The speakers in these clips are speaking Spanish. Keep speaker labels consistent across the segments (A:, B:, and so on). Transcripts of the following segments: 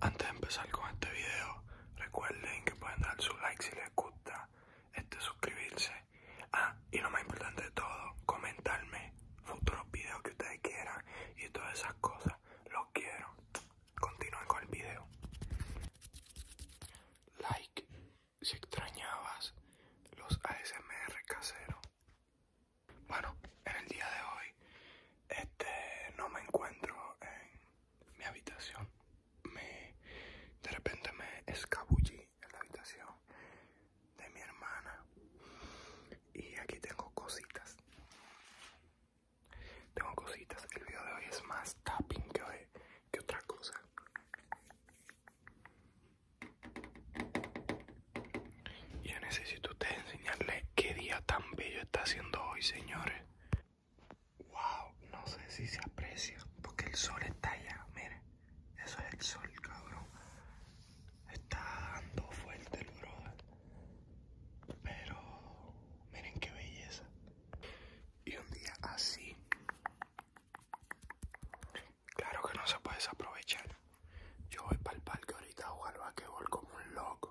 A: Antes de empezar con este video, recuerden que pueden dar su like si les gusta, este suscribirse, ah, y lo más importante de todo, comentarme futuros videos que ustedes quieran y todas esas cosas, los quiero. Continúen con el video. Like si extrañabas los ASMR casero Bueno, en el día de hoy este no me encuentro en mi habitación. Me, de repente me escabullí en la habitación de mi hermana. Y aquí tengo cositas. Tengo cositas. El video de hoy es más tapping que, que otra cosa. Ya necesito ustedes enseñarles qué día tan bello está haciendo hoy, señores. Wow, no sé si se aprecia porque el sol está allá. Miren, eso es el sol, cabrón. Está dando fuerte el brother. Pero miren qué belleza. Y un día así, claro que no se puede desaprovechar. Yo voy para el parque ahorita a jugar al como un loco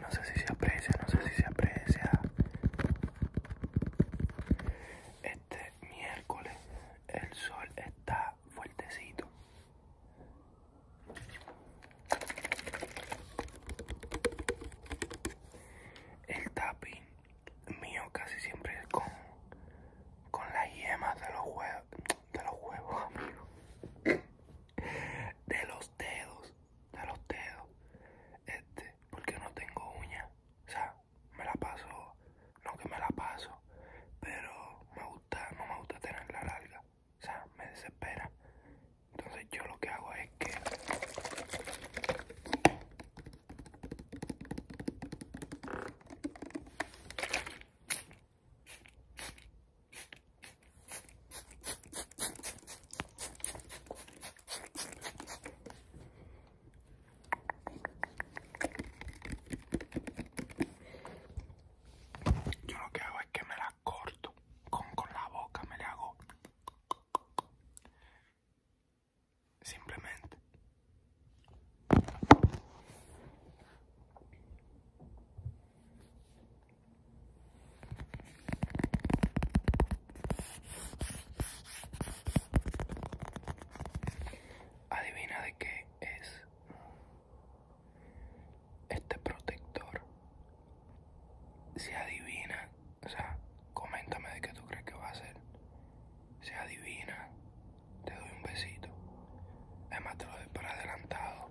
A: no sé si se aprecia, no sé si se aprecia. Este miércoles el sol está fuertecito. El tapping mío casi siempre es con, con las yemas de los huevos de los huevos, amigos De los dedos, de los dedos. Este, porque no tengo uña. O sea, me la paso, no que me la paso, pero me gusta, no me gusta tenerla larga. O sea, me desespera. Entonces yo lo que hago es que... Yo lo que hago es que me la corto con, con la boca, me la hago simplemente. Adivina de qué es este protector. se adivina, o sea, coméntame de qué tú crees que va a ser. Si adivina, te doy un besito. Además te lo doy para adelantado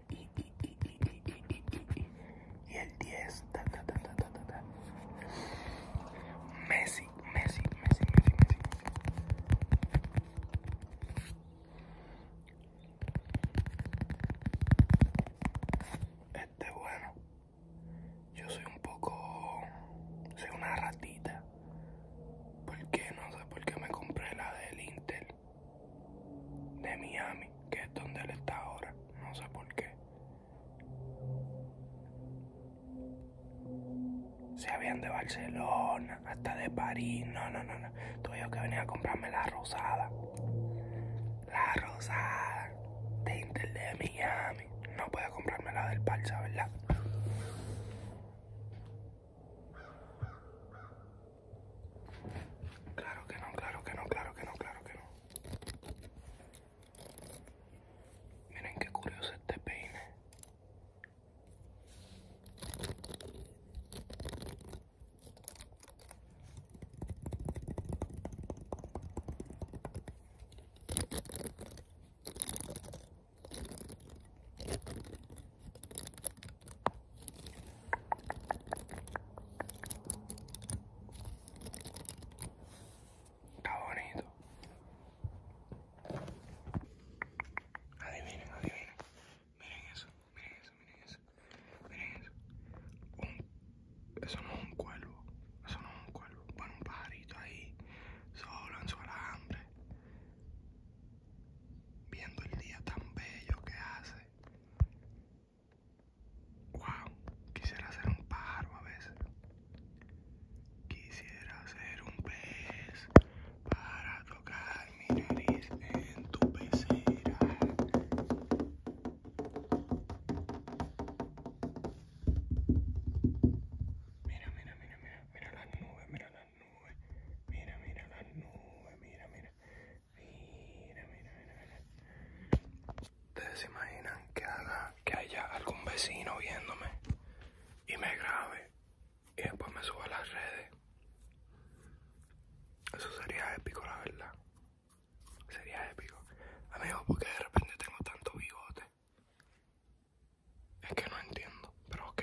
A: y el 10 Messi, Messi, Messi, Messi, Messi. Este bueno. Yo soy un poco soy una ratita. ¿Por qué? no sé por qué me compré la del Intel? de Miami, que es donde él está ahora, no sé por qué. Se habían de Barcelona, hasta de París, no, no, no, no. Tuve que venir a comprarme la rosada. La rosada de Inter de Miami. No puedo comprarme la del palsa, ¿verdad? Claro que no, claro que no, claro que no, claro que no. Miren qué curioso este peine. Está bonito. Adivinen, adivinen. Miren eso, miren eso, miren eso. Miren eso. eso no es un cuervo. Eso no es un cuervo. Bueno, un pajarito ahí, solo en su alambre. Viendo el día tan bello que hace. Wow, quisiera ser un pájaro a veces. Quisiera ser un pez para tocar mi nariz en tu pecera. Mira, mira, mira, mira, mira las nubes, mira las nubes. Mira, mira las nubes, mira, mira. Ustedes se imaginan que haya algún vecino viéndome y me grabe y después me suba a las redes. Eso sería épico, la verdad. Sería épico. Amigos, porque de repente tengo tanto bigote. Es que no entiendo, pero ok.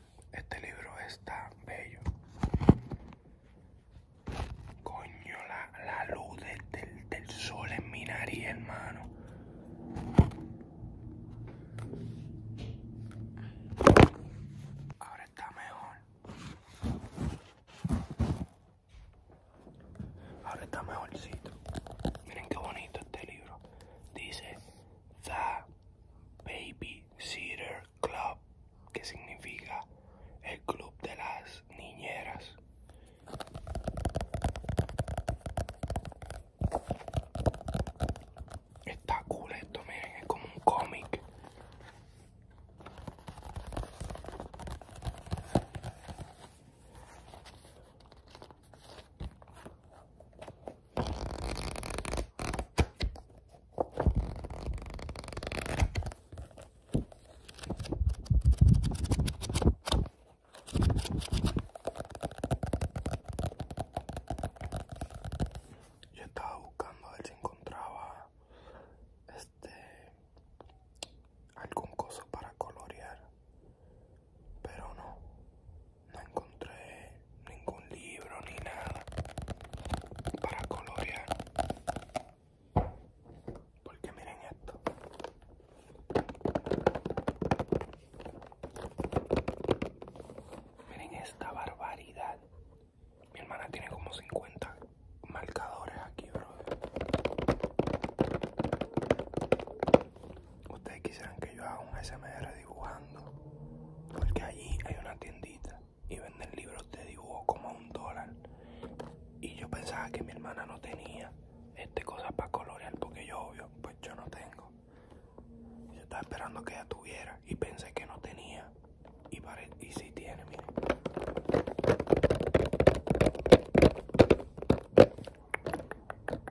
A: Este libro está bello. Coño, la, la luz del, sol en mi nariz, hermano. Ahora está mejor. Ahora está mejorcito. Miren qué bonito este libro. Dice baby sitter Club, que significa el club de las niñeras. Está cool esto, miren, es como un cómic. Yo estaba buscando a ver si encontraba este algún cosa para colorear, pero no no encontré ningún libro ni nada para colorear porque miren esto miren esta barbaridad mi hermana tiene como 50 marcadores aquí ustedes quisieran que yo haga un SMR dibujando, porque allí hay una tiendita y venden libros de dibujo como a un dólar. Y yo pensaba que mi hermana no tenía este cosas para colorear, porque yo, obvio, pues yo no tengo. Yo estaba esperando que ella tuviera y pensé que no tenía. Y, si y sí tiene, miren.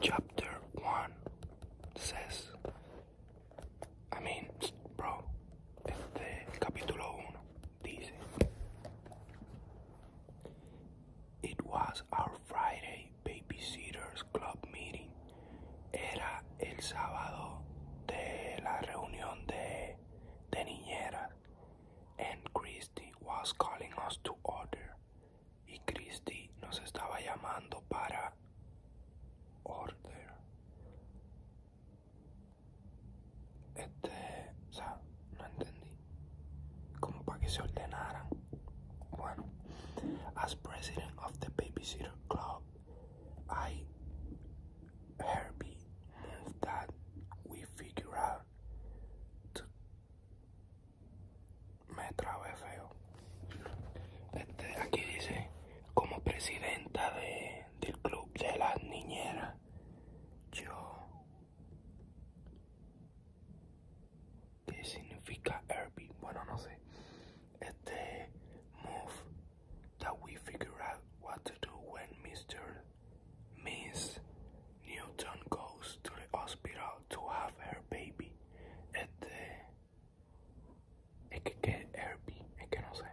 A: Chapter 1 says, I bro, este, el dice, It was our Friday babysitters club meeting. Era el sábado de la reunión de, de and Christy was calling us to order. y Cristi nos estaba llamando para order. Este, o no entendí. Como para que se ordenaran. Bueno, as president of the babysitter club, I, Herbie, move that we figure out me trabé feo. Este, aquí dice, como presidenta de, del club de las niñeras, yo... ¿Qué significa Herbie? Bueno, no sé. Este move that we figure out what to do when Mr. Miss Newton goes to the hospital to have her baby Este Es que, que Herbie, es que no sé.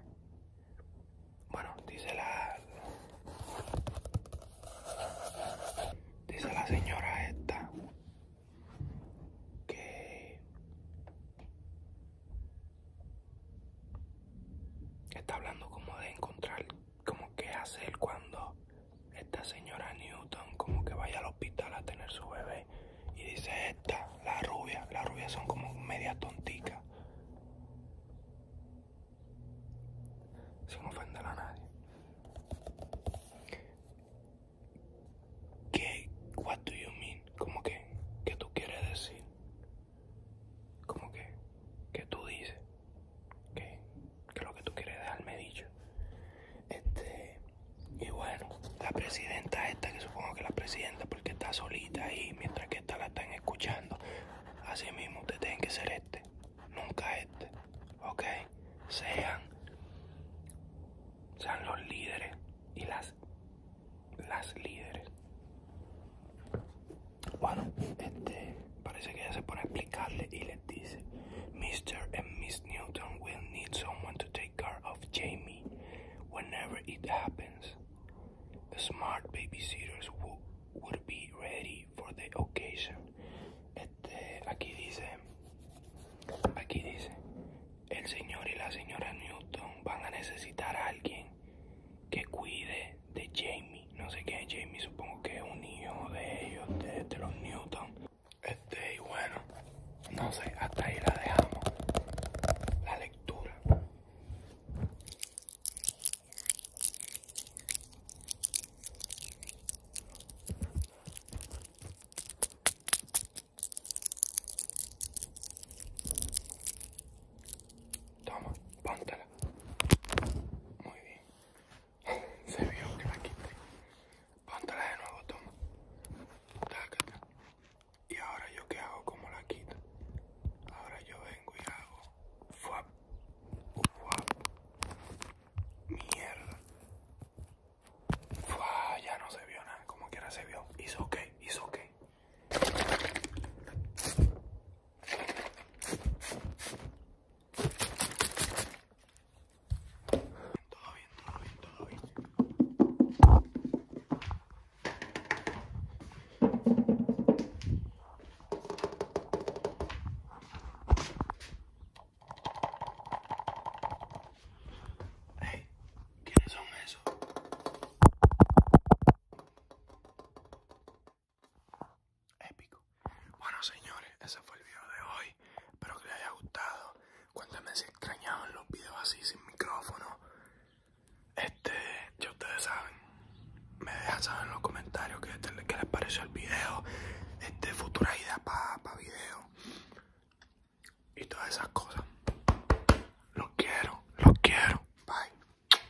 A: Bueno, dice la... Dice la señora esta que está hablando como de encontrar como que hacer cuando esta señora Newton como que vaya al hospital a tener su bebé y dice esta, la rubia, las rubias son como media tontica. Sin ofender a nadie. ¿Qué? What do you mean? Como que, ¿qué tú quieres decir? Como que, ¿qué tú dices? ¿Qué? que es lo que tú quieres dejarme dicho. Este, y bueno, la presidenta esta, que supongo que la presidenta porque está solita ahí, mientras que esta la están escuchando. Así mismo, ustedes tienen que ser este, nunca este, ¿ok? Sean, sean los líderes y las, las líderes. Bueno, este, Parece que se pone a explicarle y les dice, Mr. and Miss Newton will need someone to take care of Jamie whenever it happens. The smart babysitters would, would be ready for the occasion. aquí dice, aquí dice, el señor y la señora Newton van a necesitar a alguien que cuide de Jamie. no sé quién es Jamie, supongo que es un hijo de ellos, de, los Newton. Este, y bueno, no sé, hasta ahí la dejamos. La lectura. Toma, póntala. Muy bien. Se vio que la quité. Póntala de nuevo, toma. Taca Y ahora yo que hago como la quito. Ahora yo vengo y hago. Fuap. Fuap. Mierda. Fuap. Ya no se vio nada. Como que quiera se vio. Hizo ok, hizo ok. Todo bien, todo bien, todo bien. Hey, ¿quiénes son esos? Épico. Bueno, señores, ese fue el video de hoy. Espero que les haya gustado. Cuéntame si extrañaban los videos así, sin micrófono. Este, ya ustedes saben. Me dejan saber en los comentarios qué, les pareció el video. Este, futura idea para pa video. Y todas esas cosas. Los quiero, los quiero. Bye.